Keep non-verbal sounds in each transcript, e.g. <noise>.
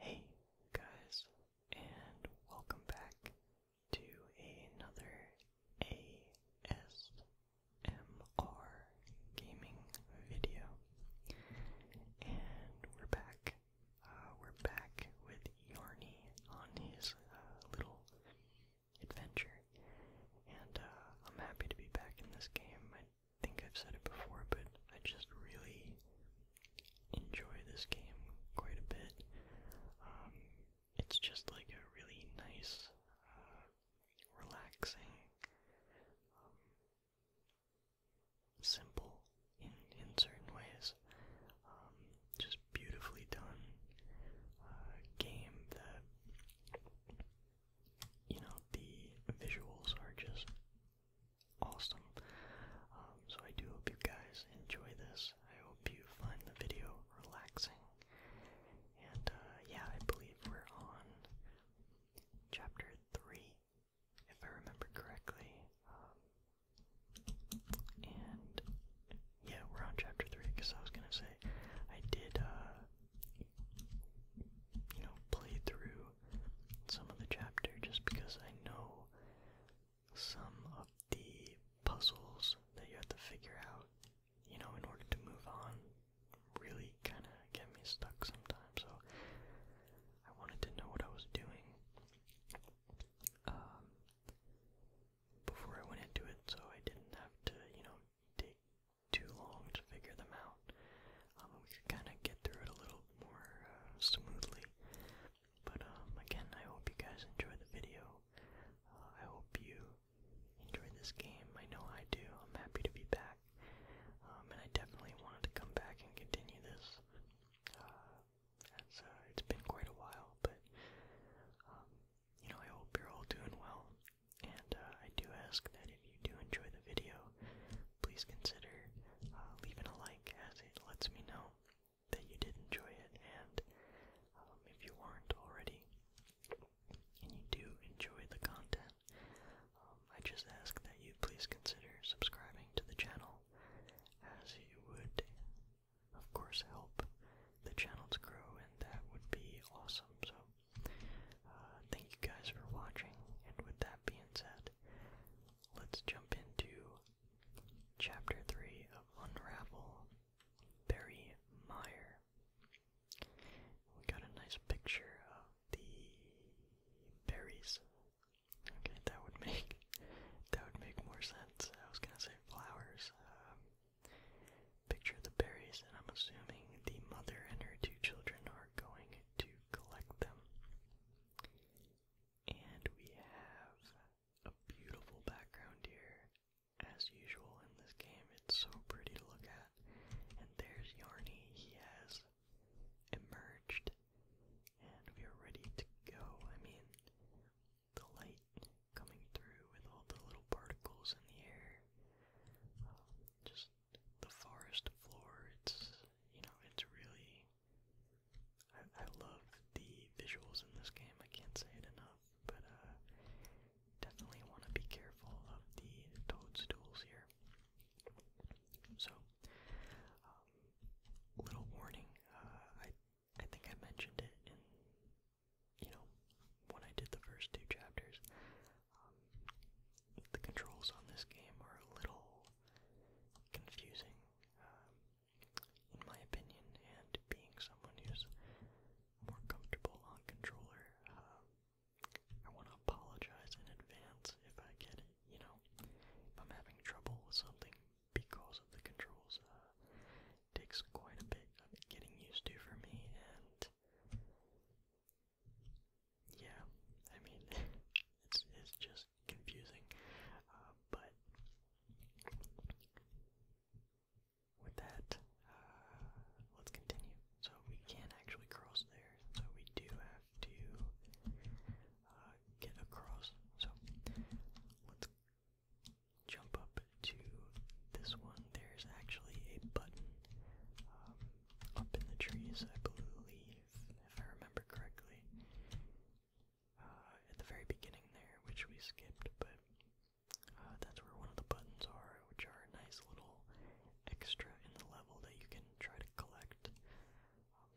Hey guys, and welcome back to another ASMR gaming video. And we're back. Uh, we're back with Yarny on his uh, little adventure. And uh, I'm happy to be back in this game. I think I've said it before, but I just really enjoy this game quite a bit. Um, it's just like a really nice, uh, relaxing, um, simple in in certain ways, um, just beautifully done uh, game that you know the visuals are just awesome. Um, so I do hope you guys enjoy this. I hope you find the video relaxing. And uh, yeah, I believe we're on chapter three, if I remember correctly. Um, and yeah, we're on chapter three because I was gonna say I did, uh, you know, play through some of the chapter just because I know some of the puzzles that you have to figure out, you know, in order to move on really kind of get me stuck sometimes. So I wanted to know what I was doing um, before I went into it so I didn't have to, you know, take too long to figure them out. Um, we could kind of get through it a little more uh, smoothly. But um, again, I hope you guys enjoyed the video. Uh, I hope you enjoyed this game. I know I do. I'm happy to be back, um, and I definitely wanted to come back and continue this. Uh, it's been quite a while, but you know, I hope you're all doing well. And I do ask that if you do enjoy the video, please consider uh, leaving a like as it lets me know that you did enjoy it. And um, if you aren't already, and you do enjoy the content, um, I just ask that you please consider subscribing to the channel as you would, of course, help the channel to grow, and that would be awesome. So, uh, thank you guys for watching, and with that being said, let's jump into Chapter 3 of Unravel Barry Meyer. We got a nice picture of the berries. Okay, that would make that would make more sense. I was gonna say flowers. Um, picture the berries, and I'm assuming the mother and her two children are going to collect them. And we have a beautiful background here, as usual in this game. It's so pretty to look at. And there's Yarny. He has emerged, and we are ready to go. I mean, the light coming through with all the little particles in the air. Um, just the forest floor. It's you know, it's really. I, I love the visuals in this game. I can't say it enough, but uh, definitely want to be careful of the toadstools here. So, um, little warning. Uh, I I think I mentioned it in you know when I did the first two chapters. Um, the controls on this game are a little confusing, um, in my opinion, and being someone who's more comfortable on controller, um, I want to apologize in advance if I get, you know, if I'm having trouble with something because of the controls. Uh, takes quite a bit of getting used to for me, and yeah, I mean, <laughs> it's, it's just confusing, uh, but with that, uh, let's continue. So we can not actually cross there, so we do have to uh, get across. So let's jump up to this one. There's actually a button um, up in the trees, I believe if I remember correctly, uh, at the very beginning there, which we skipped, but uh, that's where one of the buttons are, which are nice little extra in the level that you can try to collect. Um,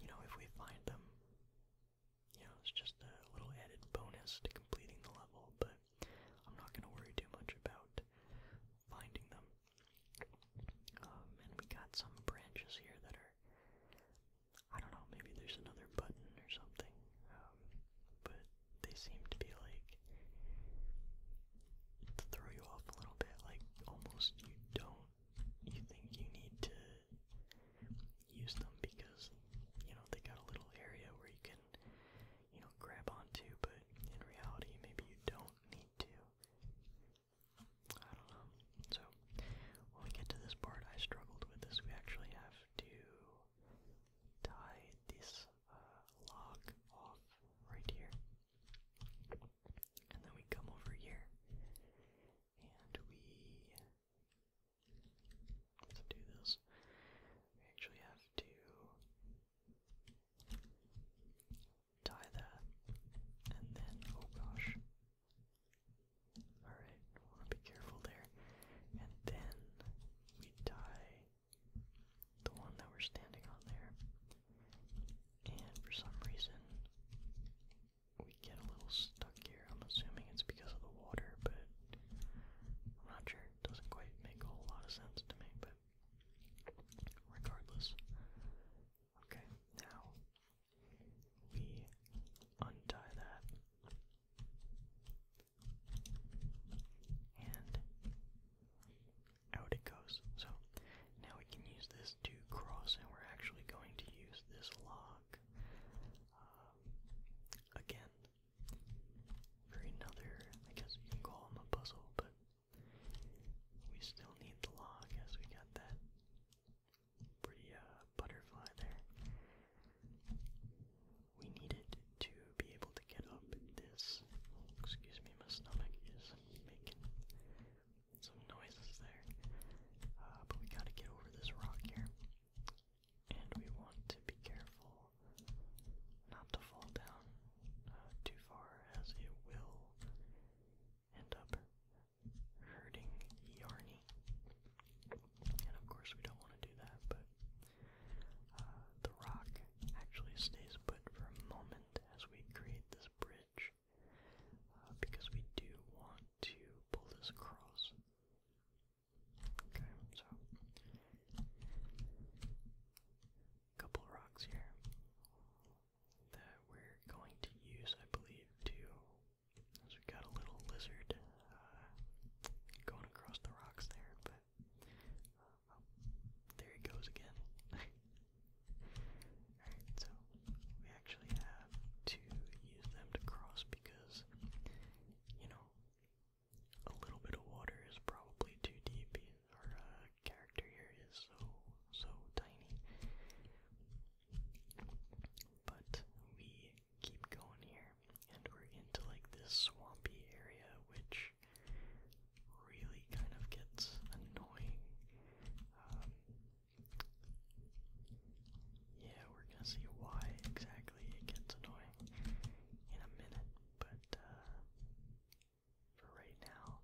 you know, if we find them, you know, it's just a little added bonus to completing the level, but I'm not going to worry too much about finding them. Um, oh, and we got some branches here that are, I don't know, maybe there's another button or something. Um, but they seem to be like, to throw you off a little bit, like almost you don't, you think you need to use them because, you know, they got a little area where you can, you know, grab onto, but in reality, maybe you don't need to. I don't know. So, when we get to this part, I struggled with this. We actually have to tie this uh, log off right here. And then we come over here and we. Let's do this. We actually have to die that, and then, oh gosh. Alright, want to be careful there. And then we die the one that we're standing on there. And for some reason, we get a little stuck here. I'm assuming it's because of the water, but I'm not sure. doesn't quite make a whole lot of sense to me, but regardless, Okay, now we untie that and out it goes. So now we can use this to cross, and we're actually going to use this lock um, again for another. I guess you can call them a puzzle, but we still need the log as we got that pretty uh, butterfly there. We need it to be able to get up this. Excuse me, my stomach is making some noises there. Uh, but we gotta get over this rock here. And we want to be careful not to fall down uh, too far, as it will end up hurting Yarny. And of course, we don't want to do that, but uh, the rock actually stays put for a moment as we create this bridge uh, because we do want to pull this across. Okay, so couple rocks here that we're going to use, I believe, too. As we got a little lizard uh, going across the rocks there, but uh, oh, there he goes again. <laughs> Alright, so we actually have to use them to cross because, you know, a little bit of water is probably too deep, or uh, character here is so, so tiny. But we keep going here, and we're into like this swampy area, which really kind of gets annoying. Um, yeah, we're gonna see why exactly it gets annoying in a minute, but uh, for right now.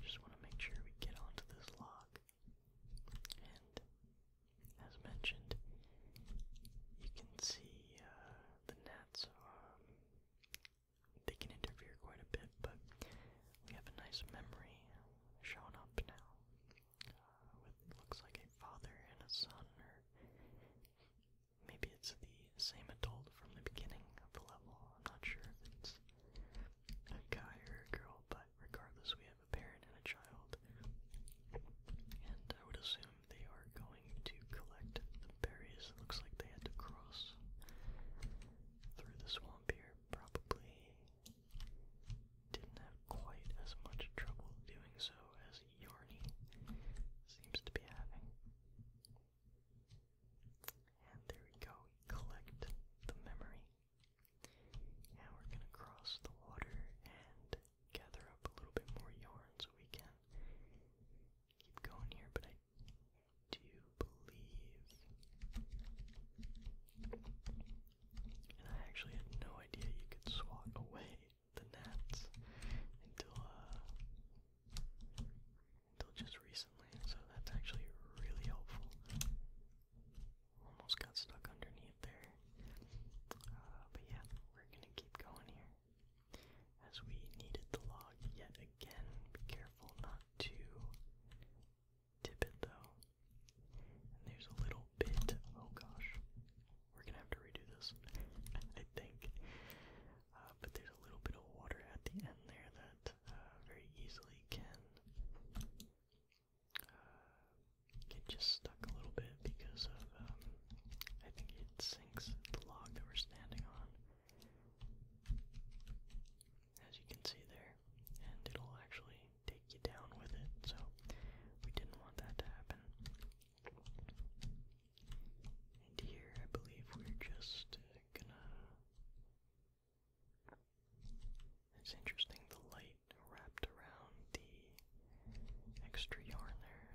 Just want to make sure we get onto this lock. And as mentioned, you can see uh, the gnats um, they can interfere quite a bit, but we have a nice memory shown up now. Uh, looks like a father and a son, or maybe it's the same adult from the beginning of the level. I'm not sure it's a guy or a girl, but regardless, we have a parent and a child. And I would assume they are going to collect the berries. It looks like they had to cross through the swamp here. Probably didn't have quite as much trouble doing so as Yarny seems to be having. And there we go, we collect the memory. Now we're gonna cross the water and gather up a little bit more yarn so we can keep going here, but I do believe and I actually had no idea you could swat away the gnats until uh, until just recently, so that's actually really helpful. Almost got stuck underneath there. Uh, but yeah, we're gonna keep going here. As we needed the log yet again, be careful not to tip it though. And there's a little bit, oh gosh, we're gonna have to redo this, <laughs> I think. Uh, but there's a little bit of water at the end there that uh, very easily can uh, get just stuck a little bit because of um, I think it sinks the log that we're standing on, as you can see there, and it'll actually take you down with it. So we didn't want that to happen. And here, I believe we're just gonna it's interesting the light wrapped around the extra yarn there.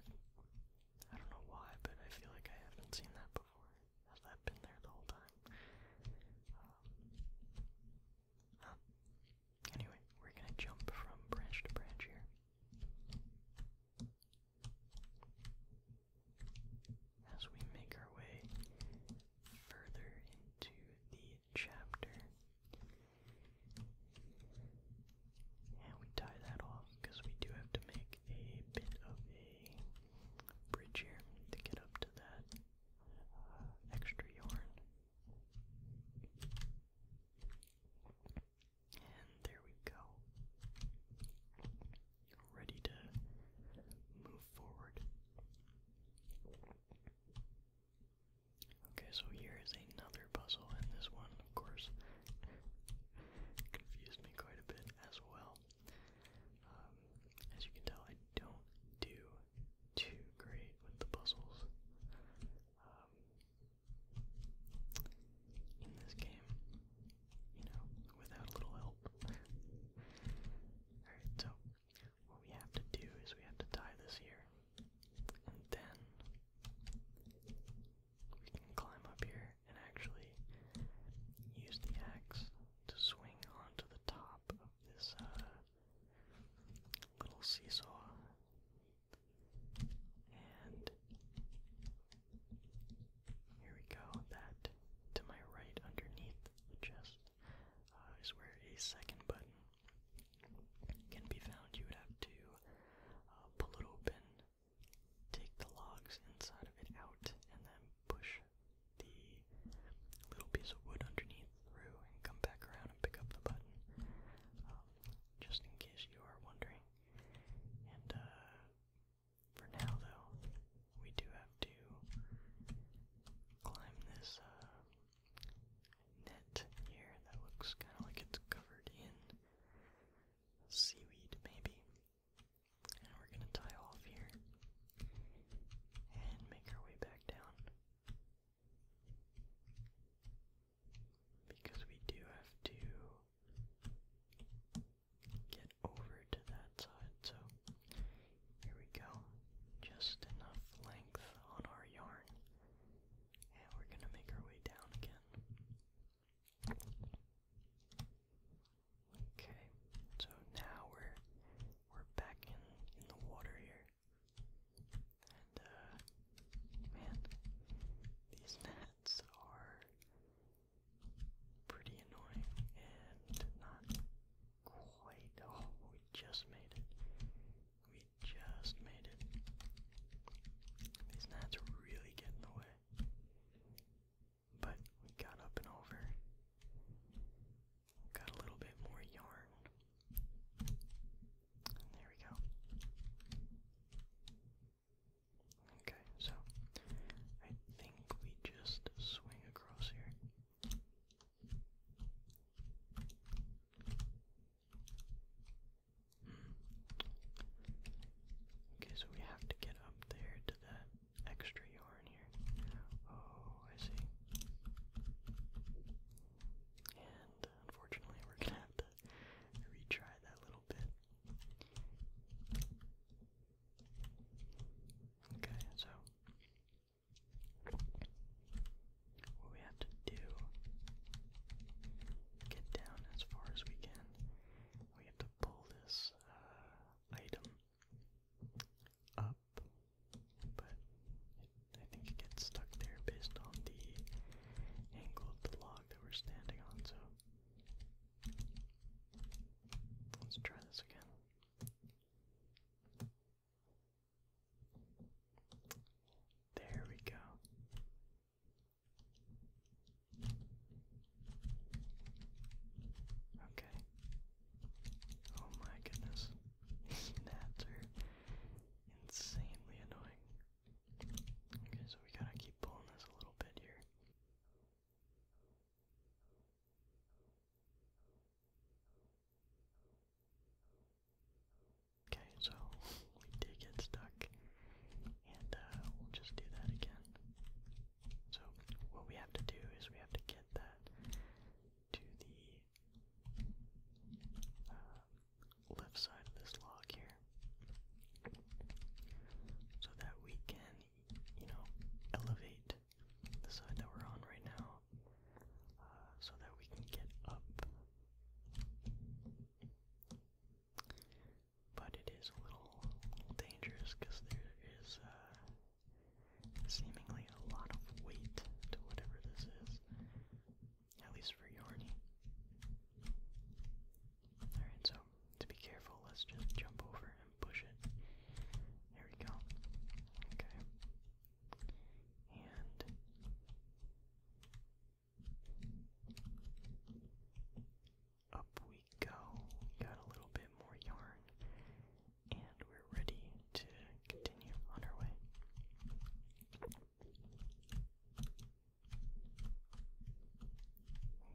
I don't know why, but I feel like I haven't seen that before. Has that been there the whole time? Um, anyway, we're gonna jump from branch to branch here as we make our way further into the chapter. And we tie that off because we do have to make a bit of a bridge here to get up to that uh, extra yarn. And there we go ready to move forward. Okay, so here is another puzzle, and this one, of course, confused me quite a bit as well. Um, as you can tell, I don't do too great with the puzzles um, in this game you know, without a little help. <laughs> Alright, so what we have to do is we have to tie this here. And then we can climb up here and actually use the axe to swing onto the top of this uh, little seesaw. And here we go. That to my right underneath the chest uh, is where a second button can be found. You would have to uh, pull it open, take the logs inside of it out, and then push the little piece of wood underneath through and come back around and pick up the button. Um, just in case you are wondering. Uh, for now, though, we do have to climb this uh, net here that looks kind of like it's covered in seaweed, maybe. And we're gonna tie off here and make our way back down. Because we do have to get over to that side. So here we go. Just enough length on our yarn. And we're going to make our way down again. Okay, so now we're we're back in in the water here. And uh, man, these gnats <laughs> are pretty annoying and not quite. Oh, we just made it. We just made it. These gnats really getting in the way. But we got up and over. Got a little bit more yarn. there we go. Okay so I think we just swing across here. Hmm. Okay, so we have to get up there to that extra yarn here. Oh, I see. And unfortunately, we're gonna have to retry that little bit. Okay, so what we have to do get down as far as we can. We have to pull this uh, item up, but I think it gets stuck there based on the angle of the log that we're standing on. So let's try this again. There we go. Okay. Oh my goodness. Gnats are insanely annoying. Okay, so we gotta keep pulling this a little bit here. Okay, so <laughs> we did get stuck, and uh, we'll just do that again. So what we have to do is we have to get that to the uh, left side of this log here, so that we can, you know, elevate the side that we're on right now, uh, so that we can get up. But it is a little, dangerous because there is uh, seemingly a lot of weight to whatever this is, at least for Yorny. Alright, so to be careful, let's just jump over push it. Here we go. Okay. And up we go. Got a little bit more yarn, and we're ready to continue on our way.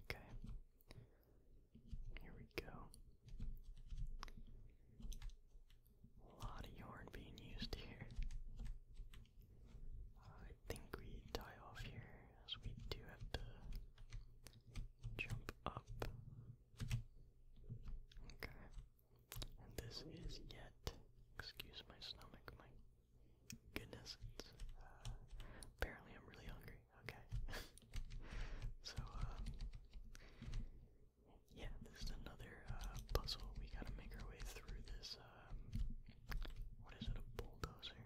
Okay, here we go. A lot of yarn being used here. I think we die off here as we do have to jump up. Okay. And this is yet, excuse my stomach, my goodness, uh, apparently I'm really hungry okay. <laughs> so, uh, yeah, this is another uh, puzzle. We gotta make our way through this, um, what is it, a bulldozer?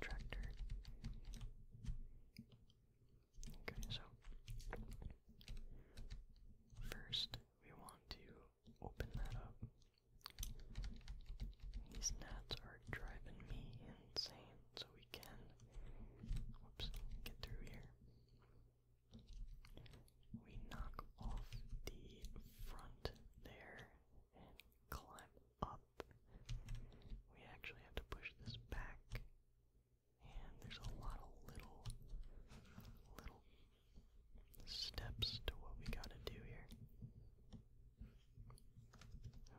Tractor. Okay, so, first we want to open that up. These gnats are driving me insane, so we can get through here. We knock off the front there and climb up. We actually have to push this back, and there's a lot of little, little steps to what we gotta do here.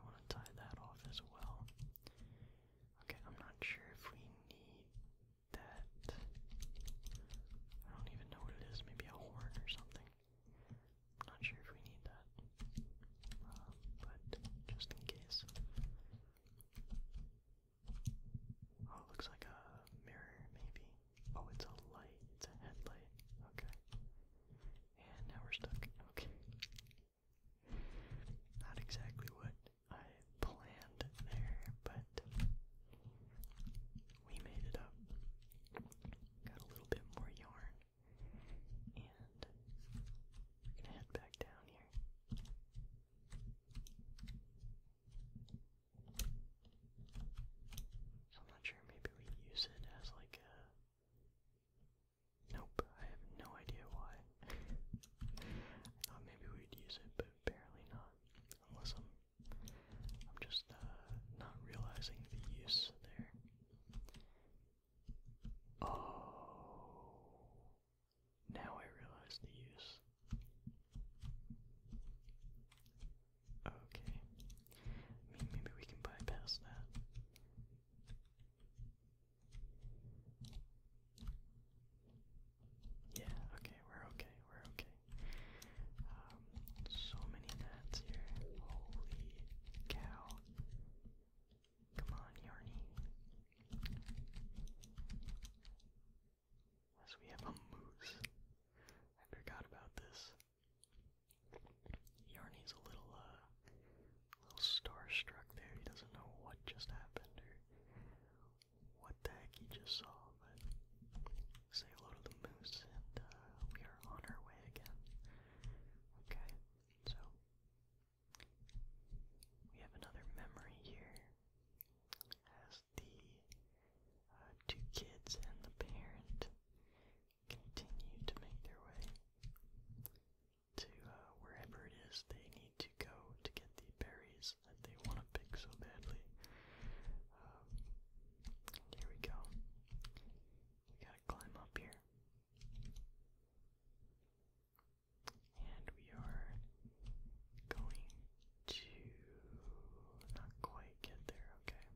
I want to tie that off as well. Okay, I'm not sure if we need that. I don't even know what it is. Maybe a horn or something. not sure if we need that. Um, but just in case. Oh, it looks like a mirror, maybe. Oh, it's a light. It's a headlight. Okay. And now we're stuck. Okay. Not exactly what I planned there, but we made it up. Got a little bit more yarn, and we're gonna head back down here. So I'm not sure, maybe we use it as like a Nope, I have no idea why. thought maybe we'd use it, but apparently not. Unless I'm, I'm just uh, not realizing the use there. Oh, now I realize the use. Okay, maybe we can bypass that. Yeah, okay, we're okay, we're okay. Um, so many gnats here. Holy cow. Come on, Yarny. Yes, we have a moose. I forgot about this. Yarny's a little, uh, a little starstruck there. He doesn't know what just happened or what the heck he just saw, but say hello to the moose and uh, we are on our way again. Okay, so we have another memory here as the uh, two kids and the parent continue to make their way to uh, wherever it is they need to go to get the berries that they want to pick so badly. Um, here we go. We gotta climb up here. And we are going to not quite get there, okay?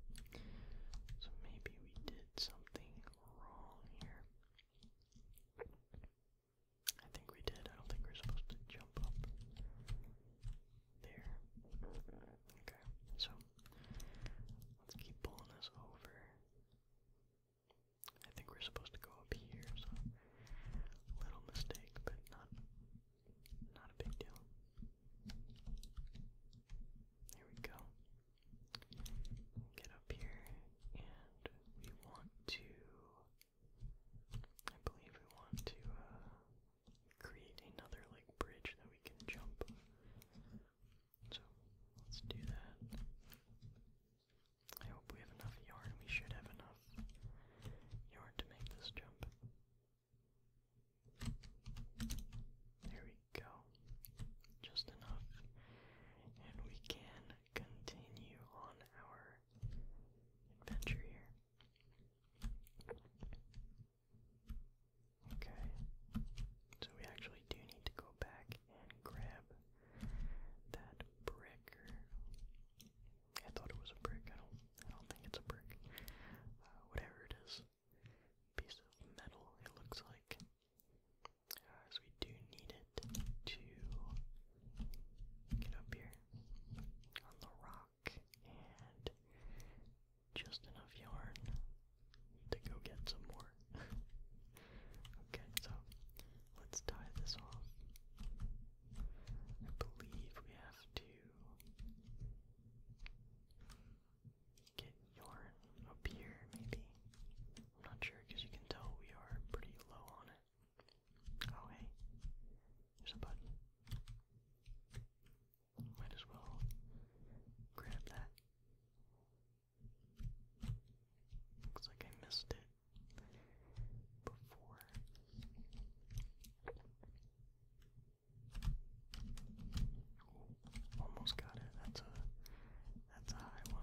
So maybe we did something wrong here. I think we did. I don't think we're supposed to jump up there. Okay, so let's keep pulling this over. I think we're supposed to go up here, so little mistake, but not not a big deal. There we go get up here and we want to I believe we want to uh, create another like bridge that we can jump. So let's do that. I hope we have enough yarn. We should have enough yarn to make this jump. There we go. Just enough. And we can continue on our adventure here. Okay, so we actually do need to go back and grab that brick. I thought it was a brick. I don't. I don't think it's a brick. Uh, whatever it is, piece of metal. It looks like uh, we do need it to get up here on the rock and just enough yarn to go get some more. <laughs> okay, so let's tie this off. I believe we have to get yarn up here, maybe i not sure because you can tell we are pretty low on it. Oh, hey, there's a button. Might as well grab that. Looks like I missed it before. almost got it. That's a that's a high one.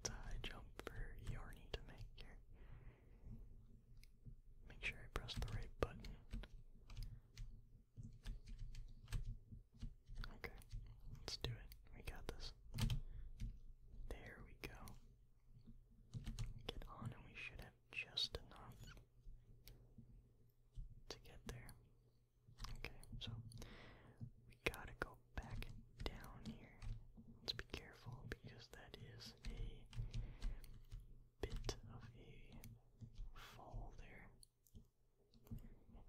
It's a high jump for Yarny to make here. Make sure I press the right button. Okay, let's do it. We got this. There we go. Get on, and we should have just enough to get there. Okay, so we gotta go back down here. Let's be careful because that is a bit of a fall there.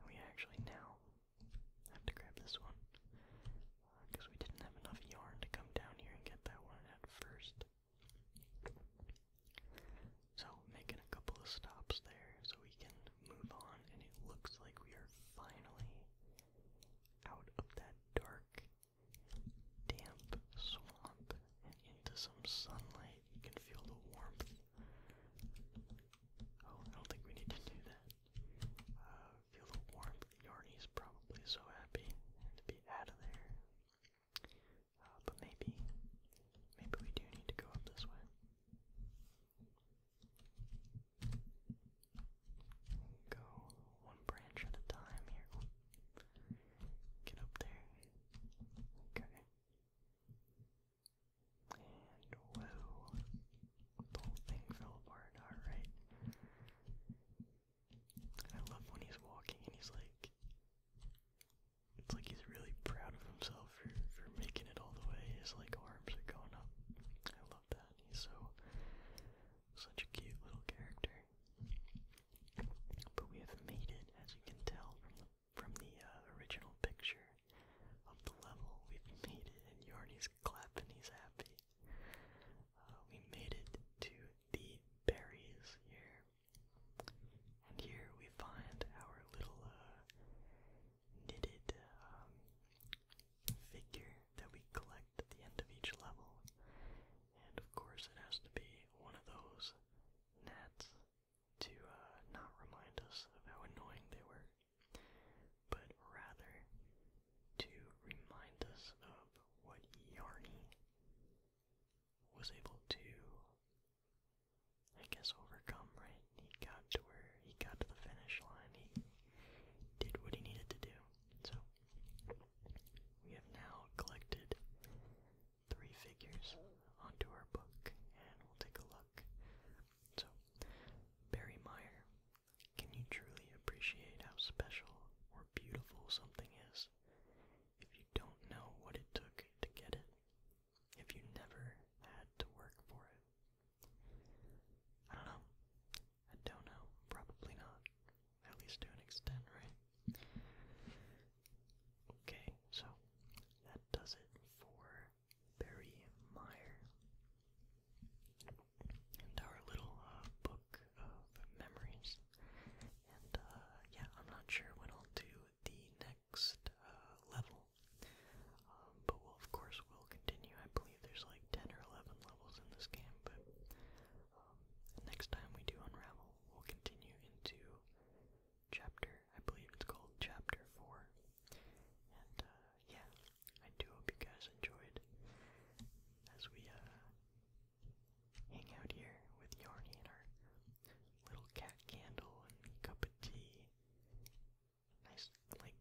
we actually now have to grab this one because uh, we didn't have enough yarn to come down here and get that one at first. So, making a couple of stops there so we can move on, and it looks like we are finally out of that dark, damp swamp and into some sunlight. You can feel the warmth. Oh, I don't think we need to do that. Uh, feel the warmth. Yarny's probably so happy to be out of there. Uh, but maybe, maybe we do need to go up this way. Go one branch at a time here. Get up there. Okay. And whoa. The whole thing fell apart. Alright. I love when he's walking and he's like it's like he's really proud of himself for, for making it all the way. His like arms are going up. I that. He's so such a cute little character. But we have made it, as you can tell from from the uh, original picture of the level. We've made it, and Yarny's clapping. He's happy. Uh, we made it to the berries here, and here we find our little uh, knitted um, figure that we collect at the end of each level. And of course, it has to be one of those gnats to uh, not remind us of how annoying they were, but rather to remind us of what Yarny was able to, I guess, overcome, right? He got to where he got to the finish line, he did what he needed to do. So we have now collected three figures onto our book, and we'll take a look. So, Barry Meyer, can you truly appreciate how special or beautiful something is if you don't know what it took to get it? If you never had to work for it? I don't know. I don't know. Probably not. At least to an extent, right? Okay, so that does it for Barry Meyer and our little uh, book of memories. And uh, yeah, I'm not sure when I'll do the next uh, level, um, but of course, we'll continue. I believe there's like 10 or 11 levels in this game, but um, next time we do Unravel, we'll continue into chapter, I believe it's called Chapter 4. And uh, yeah, I do hope you guys enjoyed as we uh, hang out here with Yarny and our little cat candle and cup of tea nice, like,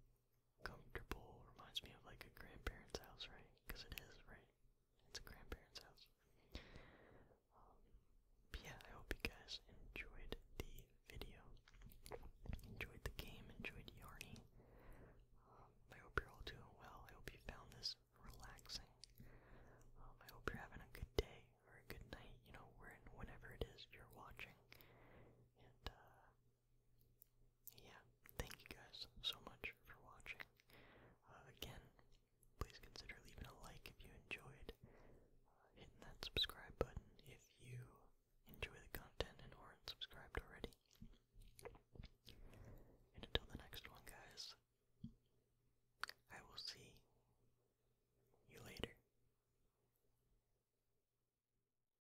comfortable. Reminds me of like a grandparent's house, right? Because it is, right? It's a grandparent's house. Um, but yeah, I hope you guys enjoyed the video, enjoyed the game, enjoyed Yarny. Um, I hope you're all doing well. I hope you found this relaxing. Um, I hope you're having a good day or a good night, you know, wherein, whenever it is you're watching. And, uh, yeah, thank you guys so much for watching. Uh, again, please consider leaving a like if you enjoyed, uh, hitting that subscribe button if you enjoy the content and aren't subscribed already. And until the next one, guys, I will see you later.